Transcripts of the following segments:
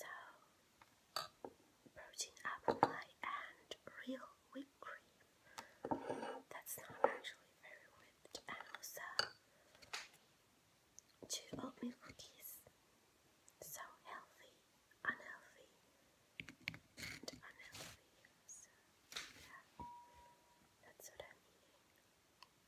so protein apple pie and real whipped cream. That's not actually very whipped, two oatmeal cookies. So healthy, unhealthy, and unhealthy. yeah, that's what I'm eating.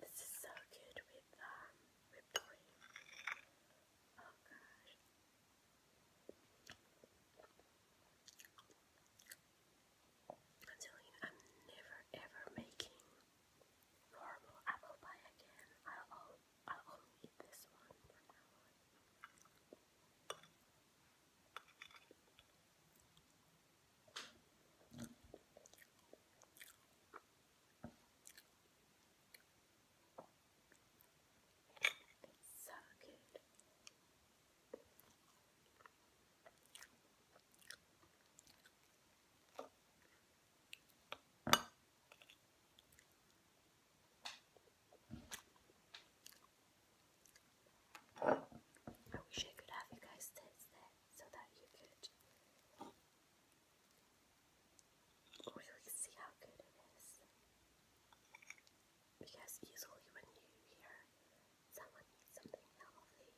this is so good with um, whipped cream. Oh gosh. I'm telling you, I'm never ever making normal apple pie again. I'll, I'll only eat this one so good. I wish I could have you guys taste that so that you could see how good it is. Because usually when you hear someone eat something healthy,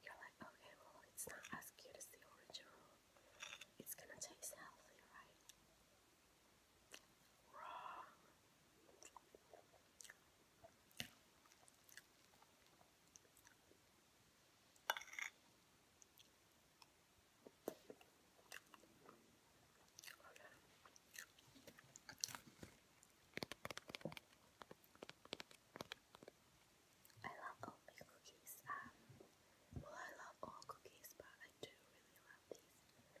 you're like, okay, well, it's not as cute as the original. It's gonna taste healthy, right? Wrong. I love oatmeal cookies. Um, well, I love all cookies, but I do really love these.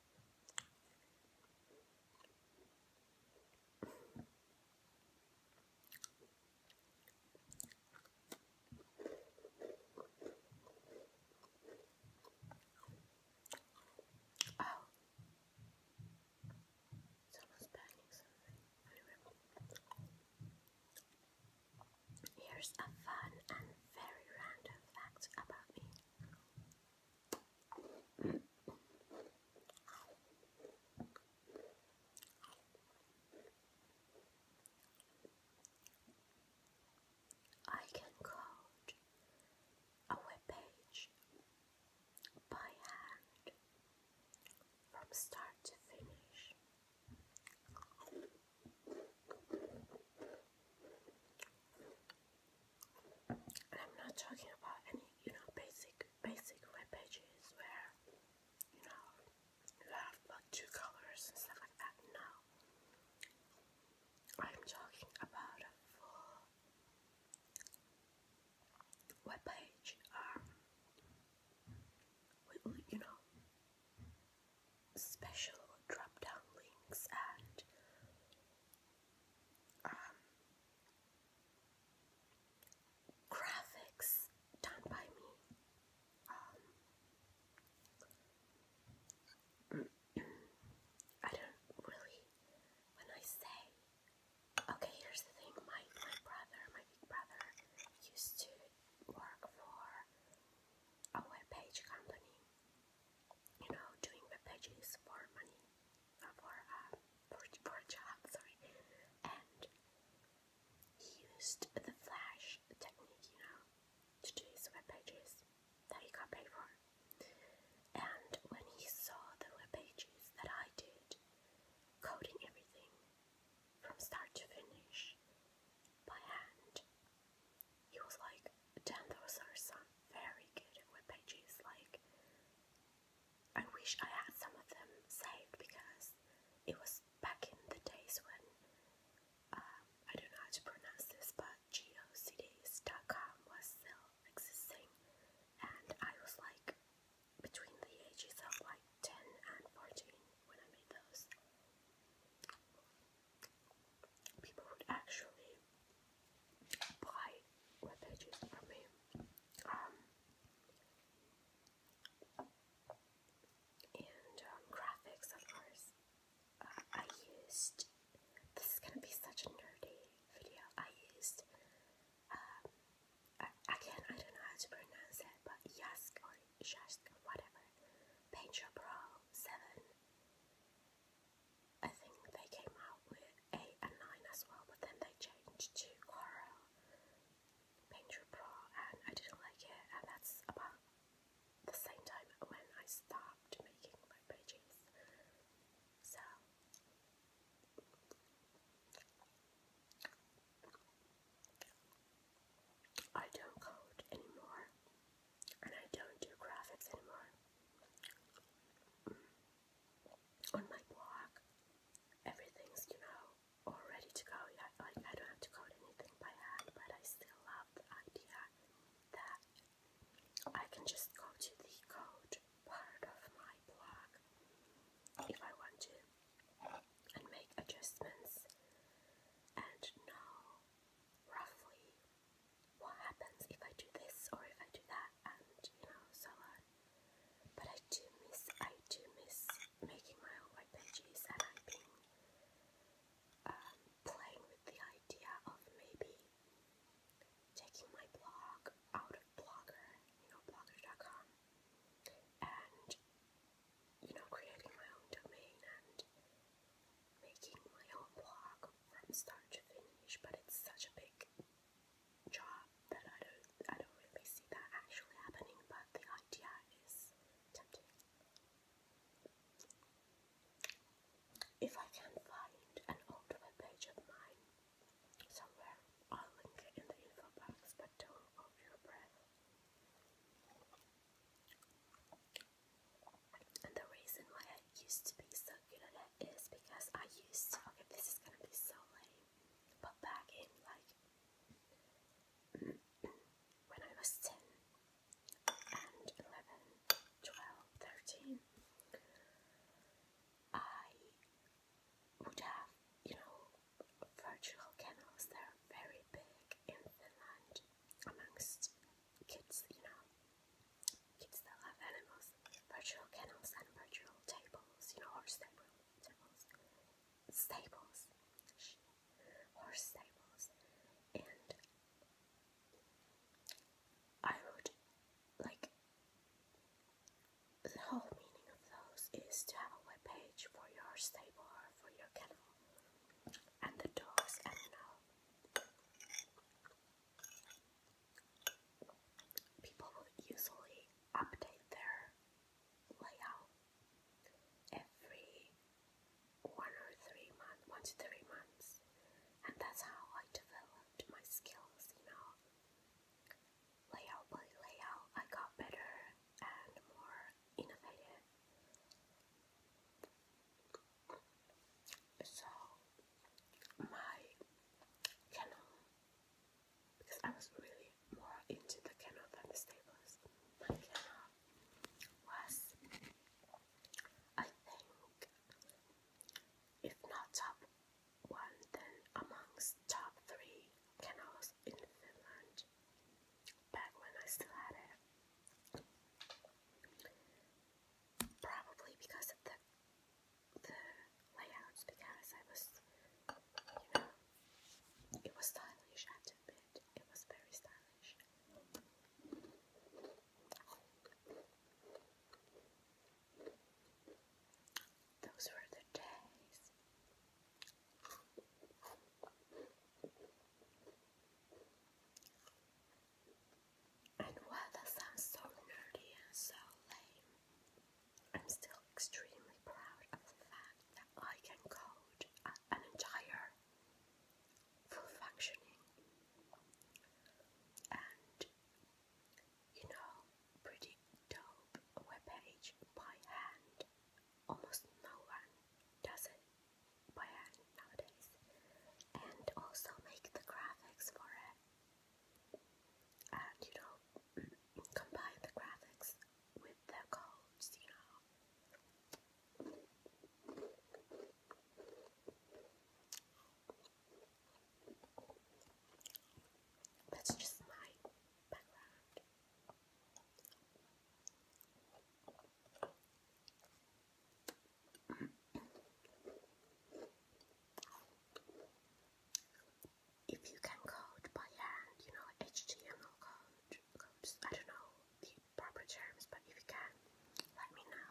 Oh, someone's Here's a fun and very random fact about me. I can code a web page by hand from start to finish. I'm not talking about any, you know, basic basic web pages where you know you have like two colors and stuff like that. No. I'm talking about a full web page um with you know special drop down links and um, graphics done by me. Um, I don't really, when I say, okay, here's the thing, my, my brother, my big brother, used to work for a web page company you know, doing web for money, uh, for, uh, for, for a sorry, and he used the flash technique, you know, to do his web pages that he got paid for. And when he saw the web pages that I did, coding everything from start to finish by hand, he was like, damn, those are some very good web pages. Like, I wish I had some of them saved because it was back in the days when um, I don't know how to pronounce this, but geocities.com was still existing, and I was like between the ages of like 10 and 14 when I made those people would actually buy web from me. Um, and um, graphics, of course. Uh, I used, this is going to be such a nerdy video, I used, um, again, I don't know how to pronounce it, but Yask or Shask whatever, Paint Pro 7 I think they came out with 8 and 9 as well, but then they changed to Corel Painter Pro, and I didn't like it, and that's about the same time when I stopped making my pages. So. I don't code anymore and I don't do graphics anymore. Mm. On my blog, everything's, you know, all ready to go. Yeah, like I don't have to code anything by hand, but I still love the idea that I can just go to the code part of my blog if I want to and make adjustments and know roughly what happens if I do this or if I do that, and you know, so on. But I do miss, I do miss making my own web and I've been um, playing with the idea of maybe taking my blog out of Blogger, you know, blogger.com, and you know, creating my own domain and making my own blog from start to finish, but it's such a big job that I don't I don't really see that actually happening, but the idea is tempting. If I can find an old web of mine somewhere, I'll link it in the info box, but don't hold your breath the reason why I used to be so good at it is because I used to, okay, this is gonna be so lame, but back in like when I was 10 and 11, I would have, you know, virtual kennels that are very big in Finland amongst kids, you know, kids that love animals, virtual kennels and virtual tables, you know, horse stable, tables, stables, horse stables, and I would like the whole meaning of those is to have a web page for your stable or for your kennel and the dogs and now people usually update their layout every one or three months one to three months and that's how I developed my skills you know layout by layout I got better and more innovative so my Canon, because I was really more into the Canon than the Staples. My Canon was, I think, if not top one, then amongst top three Canons in Finland back when I still had it. Probably because the the layouts, because I was, you know, it was stylish. I have to admit, it was very stylish. Those were the days. And while that sounds so nerdy and so lame, I'm still extremely proud of the fact that I can code an entire full functioning and you know pretty dope web by hand almost no one does it by nowadays, and also make the graphics for it, and you know, combine the graphics with the codes, you know. That's just my background. If you can code by hand, you know, HTML code, I don't know the proper terms, but if you can, let me know.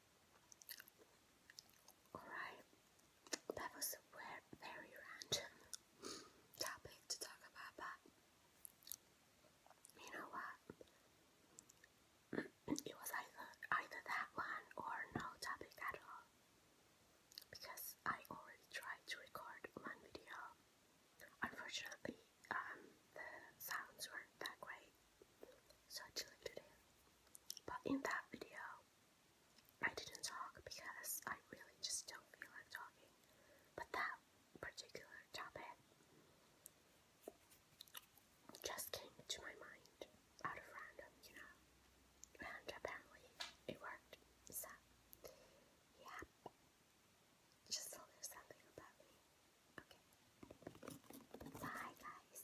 Alright, that was a very, very random topic to talk about, but you know what? It was either either that one or no topic at all. Because I already tried to record one video. Unfortunately, um, the sounds weren't that great, so I deleted it. But in that video, I didn't talk because I really just don't feel like talking. But that particular topic just came to my mind out of random, you know. And apparently it worked. So, yeah. Just a little something about me. Okay. Bye, guys.